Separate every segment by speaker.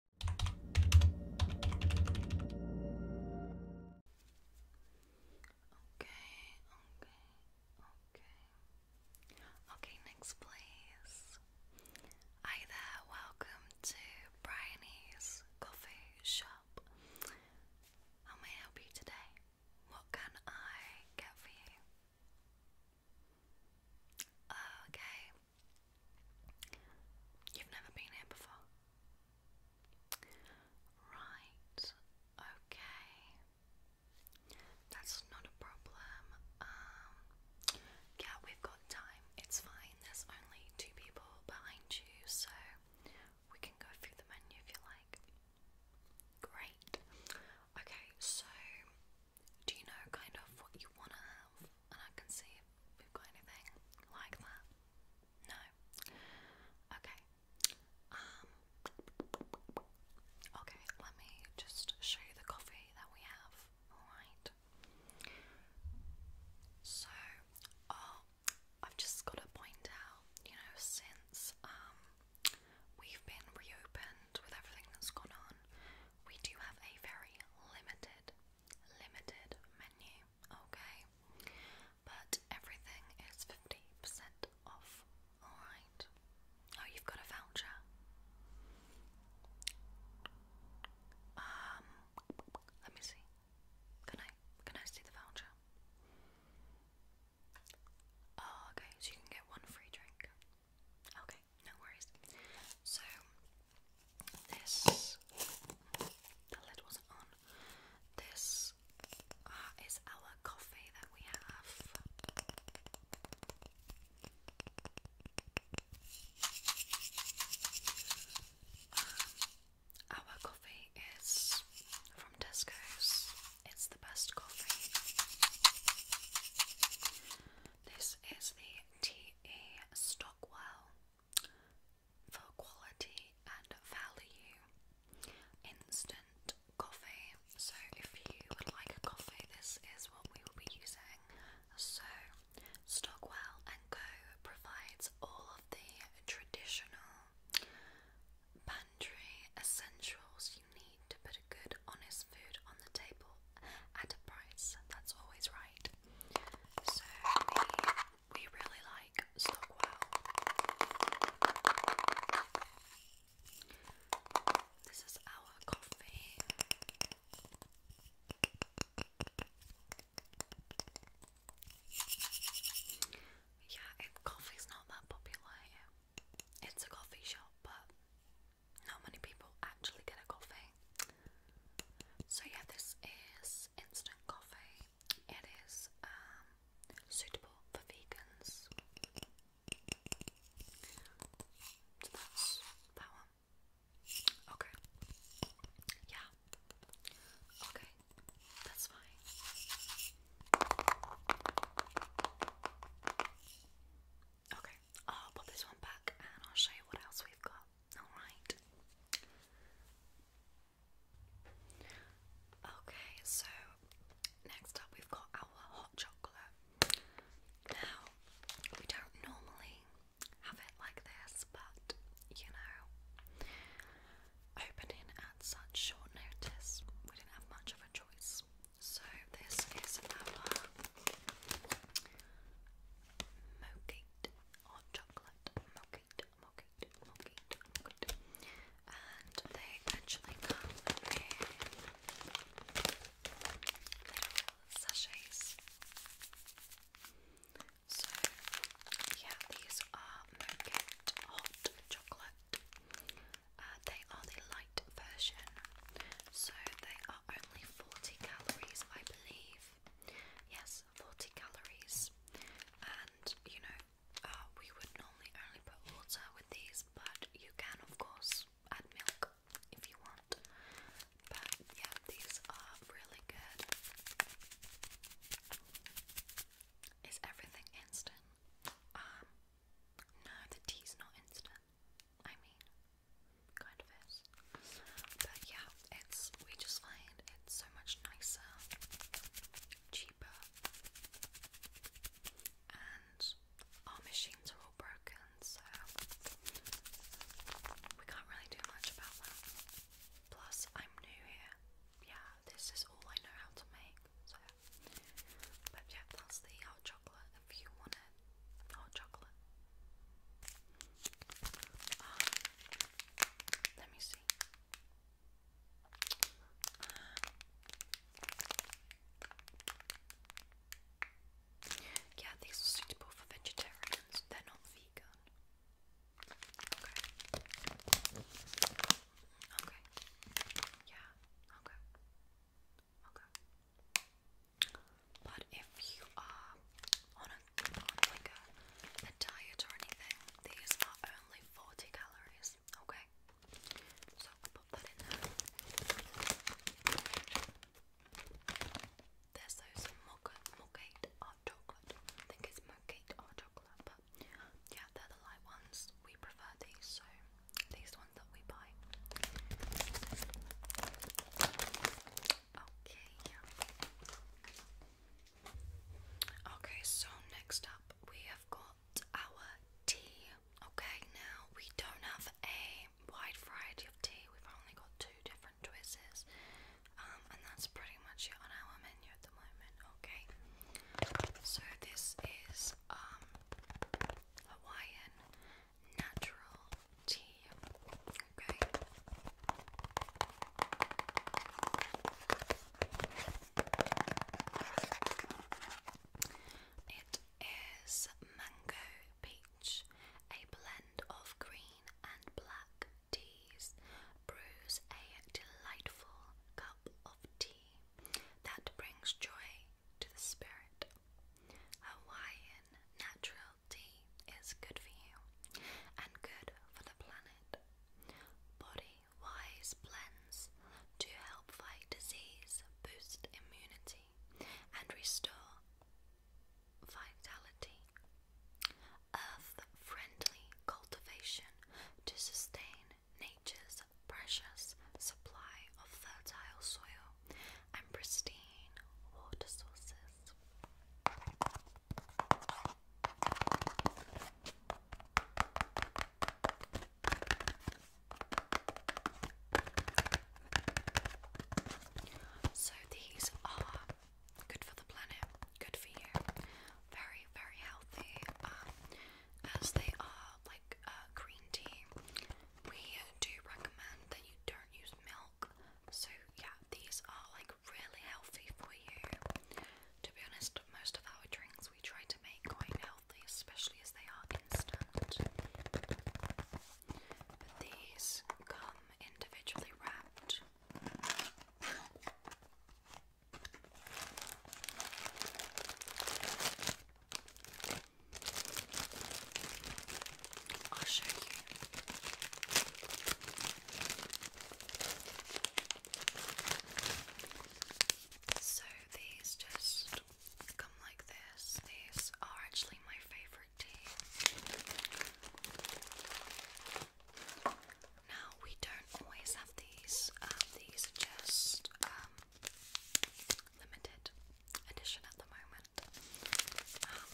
Speaker 1: Okay, okay, okay. Okay, next please. Hi there, welcome to Bryony's Coffee Shop. How may I help you today? What can I get for you? Okay, You've never been here before. Right, okay. That's not a problem. Um, yeah, we've got time. It's fine. There's only two people behind you, so we can go through the menu if you like. Great. Okay, so do you know kind of what you want to have? And I can see if we've got anything like that. No. Okay. Um. Okay, let me just show you the coffee that we have. Alright. So, oh, I've just got to point out, you know, since, um, we've been reopened with everything that's gone on, we do have a very limited limited menu, okay? But everything is 50% off, alright? Oh, you've got a voucher. Um, let me see. Can I, can I see the voucher? Oh, okay, so you can get one free drink. Okay, no worries. So, this, the lid wasn't on. This uh, is our coffee that we have. Um, our coffee is from Tesco's. It's the best coffee. This is the T.E. Stockwell for quality and value instant coffee. So, if you would like coffee, this is what we will be using. So, Stockwell and Co. provides all of the traditional pantry essentials you need to put a good, honest food on the table at a price. That's always right. So we we really like Stockwell. This is our coffee. Yeah, coffee's not that popular here. It's a coffee shop, but not many people actually get a coffee. So yeah, this is instant coffee. It is um, suitable for vegans. So that's that one. Okay. Yeah. Okay. That's fine. Okay, I'll put this one back and I'll show you what else we've got. Alright. Okay, so next up we've got our hot chocolate. Now, we don't normally have it like this, but you know, opening at such short notice, we didn't have much of a choice. So this is our mochate chocolate mochate, mochate, mochate, mochate, and they actually come in little sachets. So yeah, these are mochate hot chocolate. Uh, they are the light version, so they only 40 calories, I believe. Yes, 40 calories. And you know, uh, we would normally only put water with these, but you can, of course, add milk if you want. But yeah, these are really good. Is everything instant? Um, no, the tea's not instant. I mean, kind of is. But yeah, it's we just find it's so much nicer, cheaper, and our machines are all broken, so we can't really do much about that. Plus, I'm new here. Yeah, this is all I know how to make. So, but yeah, that's the hot chocolate if you want it. Hot chocolate. Ah, let me see. yeah, these are suitable for vegetarians. They're not vegan. Okay. Okay. Yeah. Okay. Okay. But if you are on a diet or anything, these are only 40 calories, okay? So I'll put that in there. There's those mocha mochaite or chocolate. I think it's mochaite or chocolate, but yeah, they're the light ones. We prefer these, so these ones that we buy. Okay. Okay, so next up we have got our tea. Okay, now we don't have a wide variety of tea. We've only got two different choices. Um, and that's pretty much it on our menu at the moment, okay? So this is um Hawaiian natural tea. Okay. It is mango peach, a blend of green and black teas. Brews a delightful cup of tea that brings joy to the spirit Hawaiian natural tea is good for you and good for the planet. Body Wise blends to help fight disease, boost immunity, and restore vitality. Earth friendly cultivation to sustain nature's precious supply of fertile soil and pristine water sources. So these are good for the planet, good for you, very, very healthy, um, as they are like uh, green tea we do recommend that you don't use milk. So, yeah, these are like really healthy for you. To be honest, most of our drinks we try to make quite healthy, especially as they are instant. But these come individually wrapped. I'll show you. So these just come like this. These are actually my favourite tea. Now we don't always have these. Um, these are just um, limited edition at the moment. Um,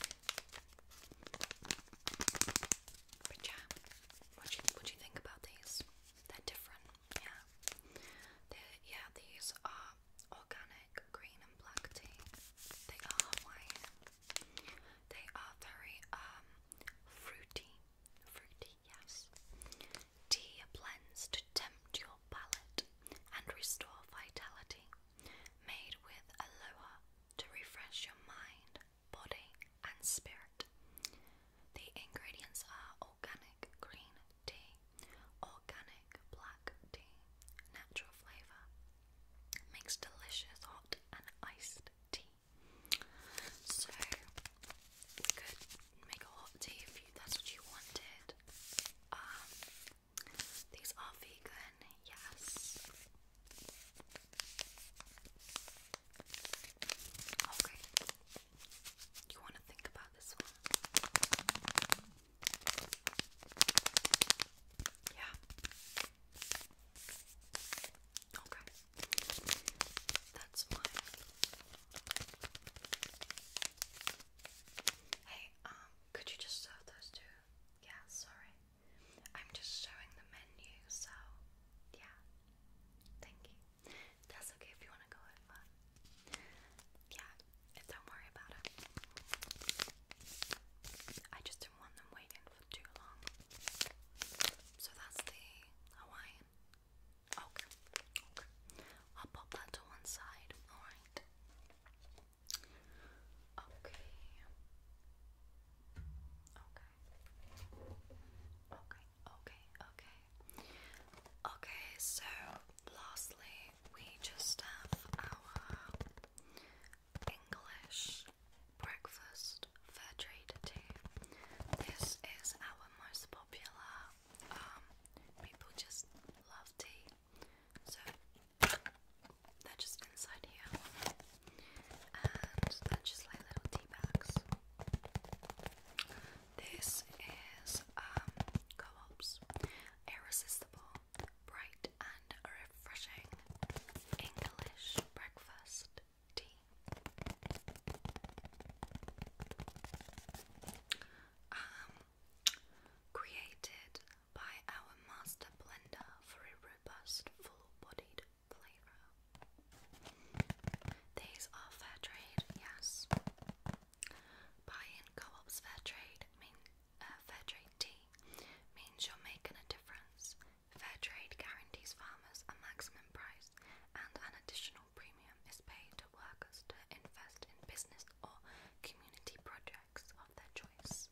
Speaker 1: but yeah, what do you, what do you think about these? They're different, yeah. they yeah, these are organic green and black tea. They are Hawaiian. They are very um fruity, fruity, yes. Tea blends to tempt your palate and restore vitality. Made with aloha to refresh your mind, body, and spirit. The ingredients are organic green tea, organic black tea, natural flavour. Makes delicious hot and iced tea. So we could make a hot tea if you, that's what you wanted. Um, these are vegan, yes. Okay. You want to think about this one? Yeah. Okay. That's mine. Hey, um, could you just serve those two? Yeah, sorry. I'm just showing the menu, so yeah. Thank you. That's okay if you want to go over. Yeah, don't worry about it. I just didn't want them waiting for too long. So that's the Hawaiian Okay, okay. I'll pop that to one side, alright? Okay. Okay. Okay, okay, okay. Okay, so lastly, we just have our English breakfast fair This is our most popular um, people just love tea, so they're just inside here, and they're just like little tea bags. This is um, irresistible, bright and refreshing English breakfast tea. Um, created by our master blender for a robust, full-bodied flavor. These are fair trade, yes. Buying co-op's fair trade mean uh, fair trade tea means you're making a difference. Fair trade guarantees farmers a maximum price and an additional premium is paid to workers to invest in business or community projects of their choice.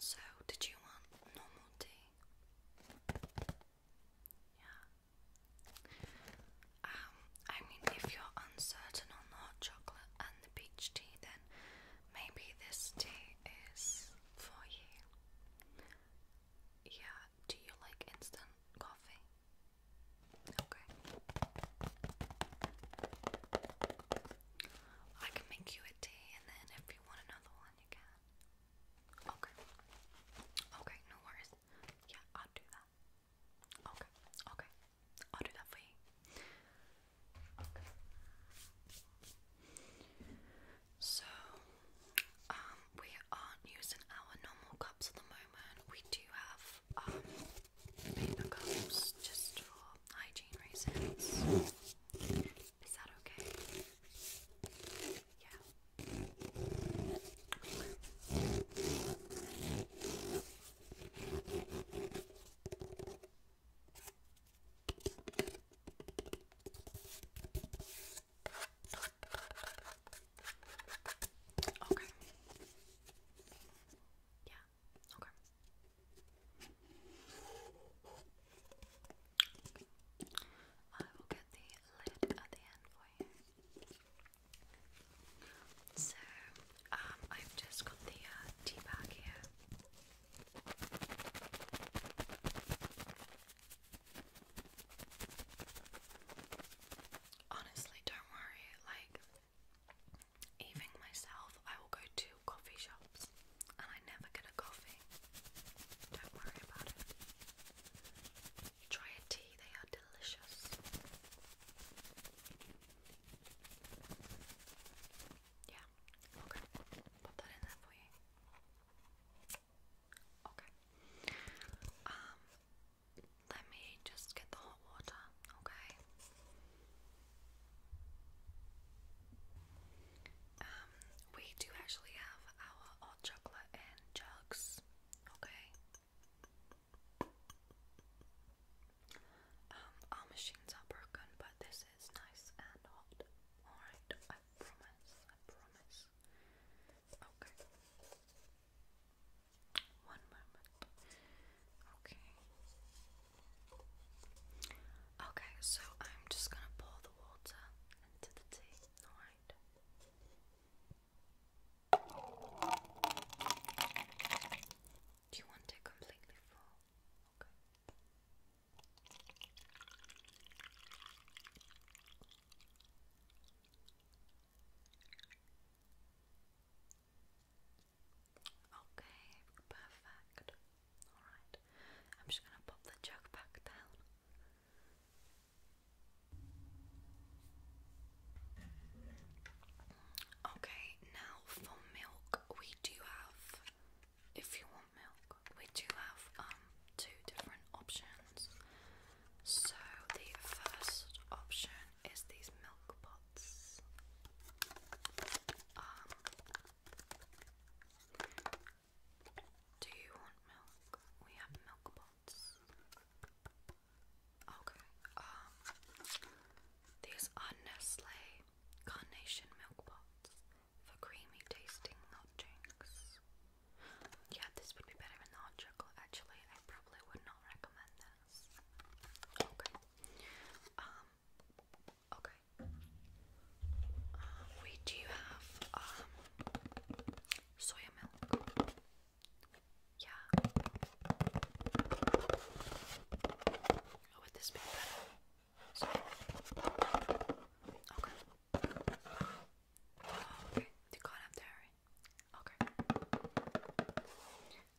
Speaker 1: So, did you want normal tea? Yeah, um, I mean, if you're uncertain on the hot chocolate and the peach tea, then maybe this tea is for you. Yeah, do you like instant coffee? Okay. I can make you a tea, and then if you want another one, you can. Okay. Okay, no worries. Yeah, I'll do that. Okay, okay. I'll do that for you. Okay. So, um, we aren't using our normal cups at the moment. We do have um, paper cups just for hygiene reasons. Is that okay? Yeah. Okay. Yeah. Okay. I will get the lid at the end for you. So, um, I've just got the uh, tea bag here. Honestly, don't worry, like, even myself, I will go to coffee shops and I never get a coffee. Don't worry about it. Try a tea, they are delicious. Yeah, okay. Put that in there for you. Okay. Um let me just get the hot water, okay? Um, we do actually have our hot chocolate in jugs, okay? Um, our machines are broken, but this is nice and hot. Alright, I promise, I promise. Okay. One moment. Okay. Okay, so I'm just gonna pour the water into the tea, alright? Do you want it completely full? Okay. Okay, perfect. Alright, I'm just gonna pop the jug back down. Okay, now for milk, we do have, if you want milk, we do have um two different options. So the first option is these milk pots. Um, do you want milk? We have milk pots. Okay. Um these are Nestle Carnation Milk Pots for creamy tasting hot drinks. Yeah, this would be better in the hot Actually, I probably would not recommend this. Okay. Um okay. Uh, we do have um soya milk. Yeah. Oh, would this be better? Sorry. Okay. Oh, You can't have dairy. Okay.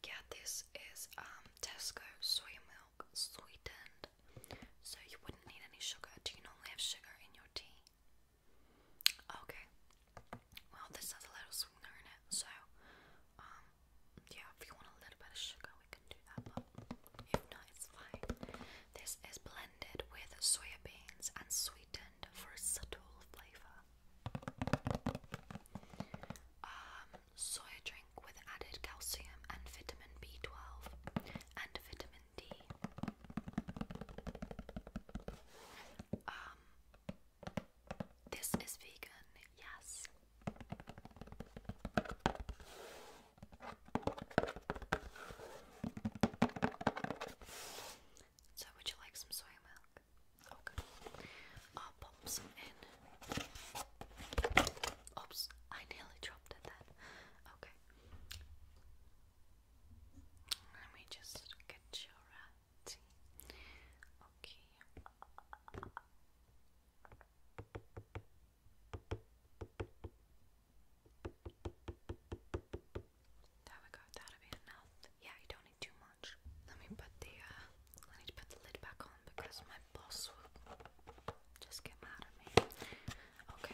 Speaker 1: Yeah, this is um, Tesco soy milk sweetened. So you wouldn't need any sugar. Do you normally have sugar in your tea? Okay. Well, this has a little sweetener in it, so um, yeah. If you want a little bit of sugar, we can do that. But it's fine. This is blended with soya and sweetened for a subtle flavor. Um, soya drink with added calcium and vitamin B12 and vitamin D. Um, this is vegan, yes. So, would you like some soy milk? Okay. Oh, I'll in. Oops, I nearly dropped it then. Okay. Let me just get your right. Okay. There we go. That'll be enough. Yeah, you don't need too much. Let me put the uh, I need put the lid back on because my boss just get mad at me. Okay.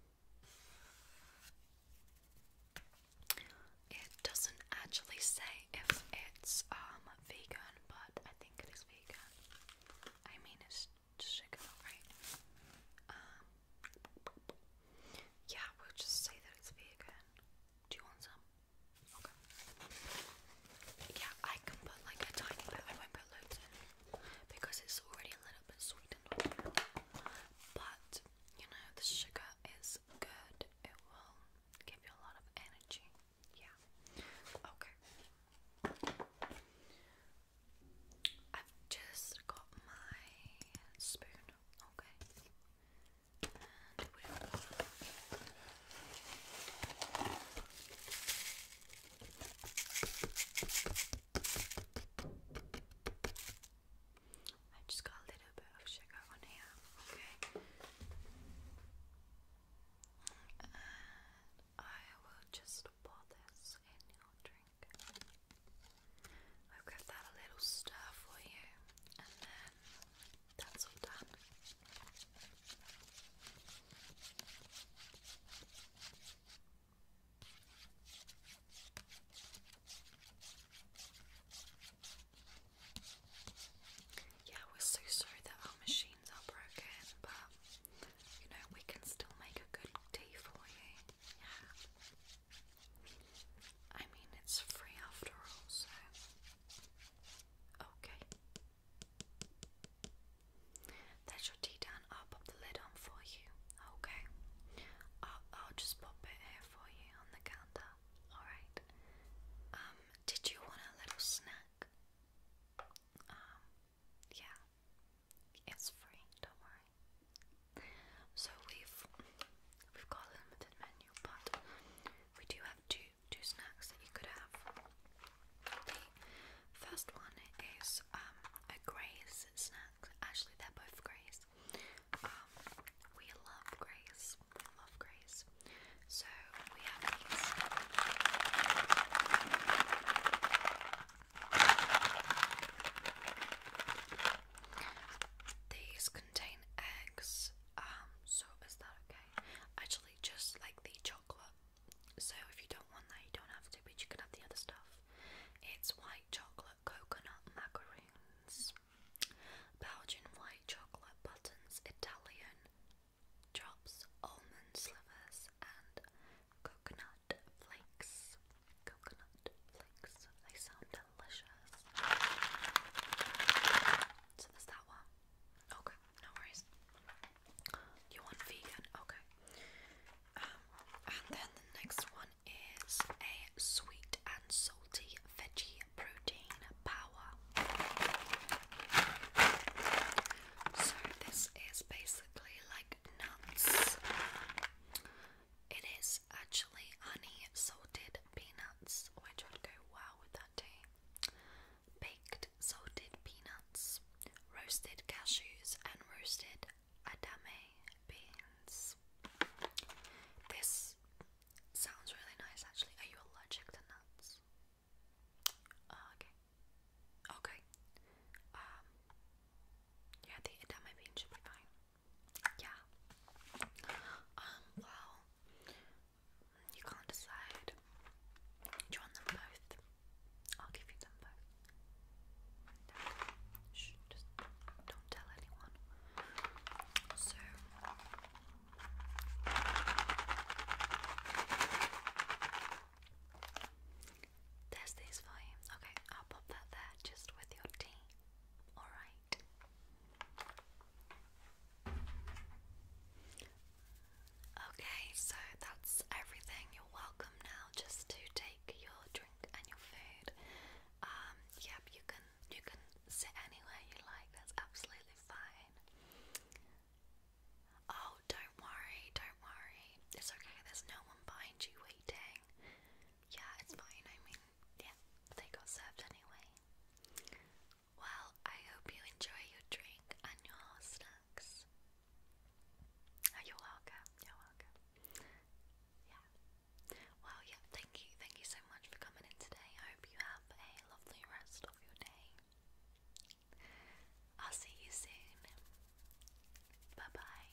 Speaker 1: It doesn't actually say if it's um vegan, but I think it is vegan. I mean, it's chicken, right? Um, yeah, we'll just say that it's vegan. Do you want some? Okay. Yeah, I can put like a tiny bit. I won't put loads in because it's already a little bit sweetened. But you know, the sugar is good, it will give you a lot of energy. Yeah, okay. I've just got my spoon, okay. I just got a little bit of sugar on here, okay? And I will just pour this in your drink. I'll give that a little stir for you, and then that's all done. Yeah, we're so sorry that our machines are broken, but you know, we can still make a good tea for you. Yeah. I mean, it's free after all, so. Okay. That should be done. I'll pop the lid on for you. Okay. I'll, I'll just pop it here for you on the counter. Alright. Um, did you want a little snack? Um, yeah. It's free, don't worry. So we've we've got a limited menu, but we do have two two snacks that you could have. The first one is um, a Grace snack. Actually, they're both Grace. Um, we love Grace. love Grace. So we have these. These contain eggs. Um, so is that okay? Actually, just like the chocolate so if you don't want that, you don't have to, but you can have the other stuff. It's white chocolate coconut macaroons, Belgian white chocolate buttons, Italian drops, almond slivers, and coconut flakes. Coconut flakes. They sound delicious. So there's that one. Okay no worries. You want vegan? Okay. Um, and then the next one is a sweet and salty veggie protein power. So this is basically like nuts. It is actually honey salted peanuts, which would go well with that tea baked salted peanuts, roasted cashews, and roasted adame beans. This sounds really nice actually. Are you allergic to nuts? Ah, okay. Okay. Um, yeah, the adame bean should be fine. Yeah. Um, well, you can't decide. you want them both? I'll give you them both. just don't tell anyone. So there's these for Okay, I'll pop that there just with your tea. Alright. Okay, so that's everything. You're welcome now just to take your drink and your food. Um, yep, you can you can sit anywhere you like, that's absolutely fine. Oh, don't worry, don't worry. It's okay, there's no one behind you waiting. Yeah, it's fine, I mean, yeah, they got served anyway. Well, I hope you enjoy your drink and your snack. Ah, you're welcome. You're welcome. Yeah. Well, yeah. Thank you. Thank you so much for coming in today. I hope you have a lovely rest of your day. I'll see you soon. Bye bye.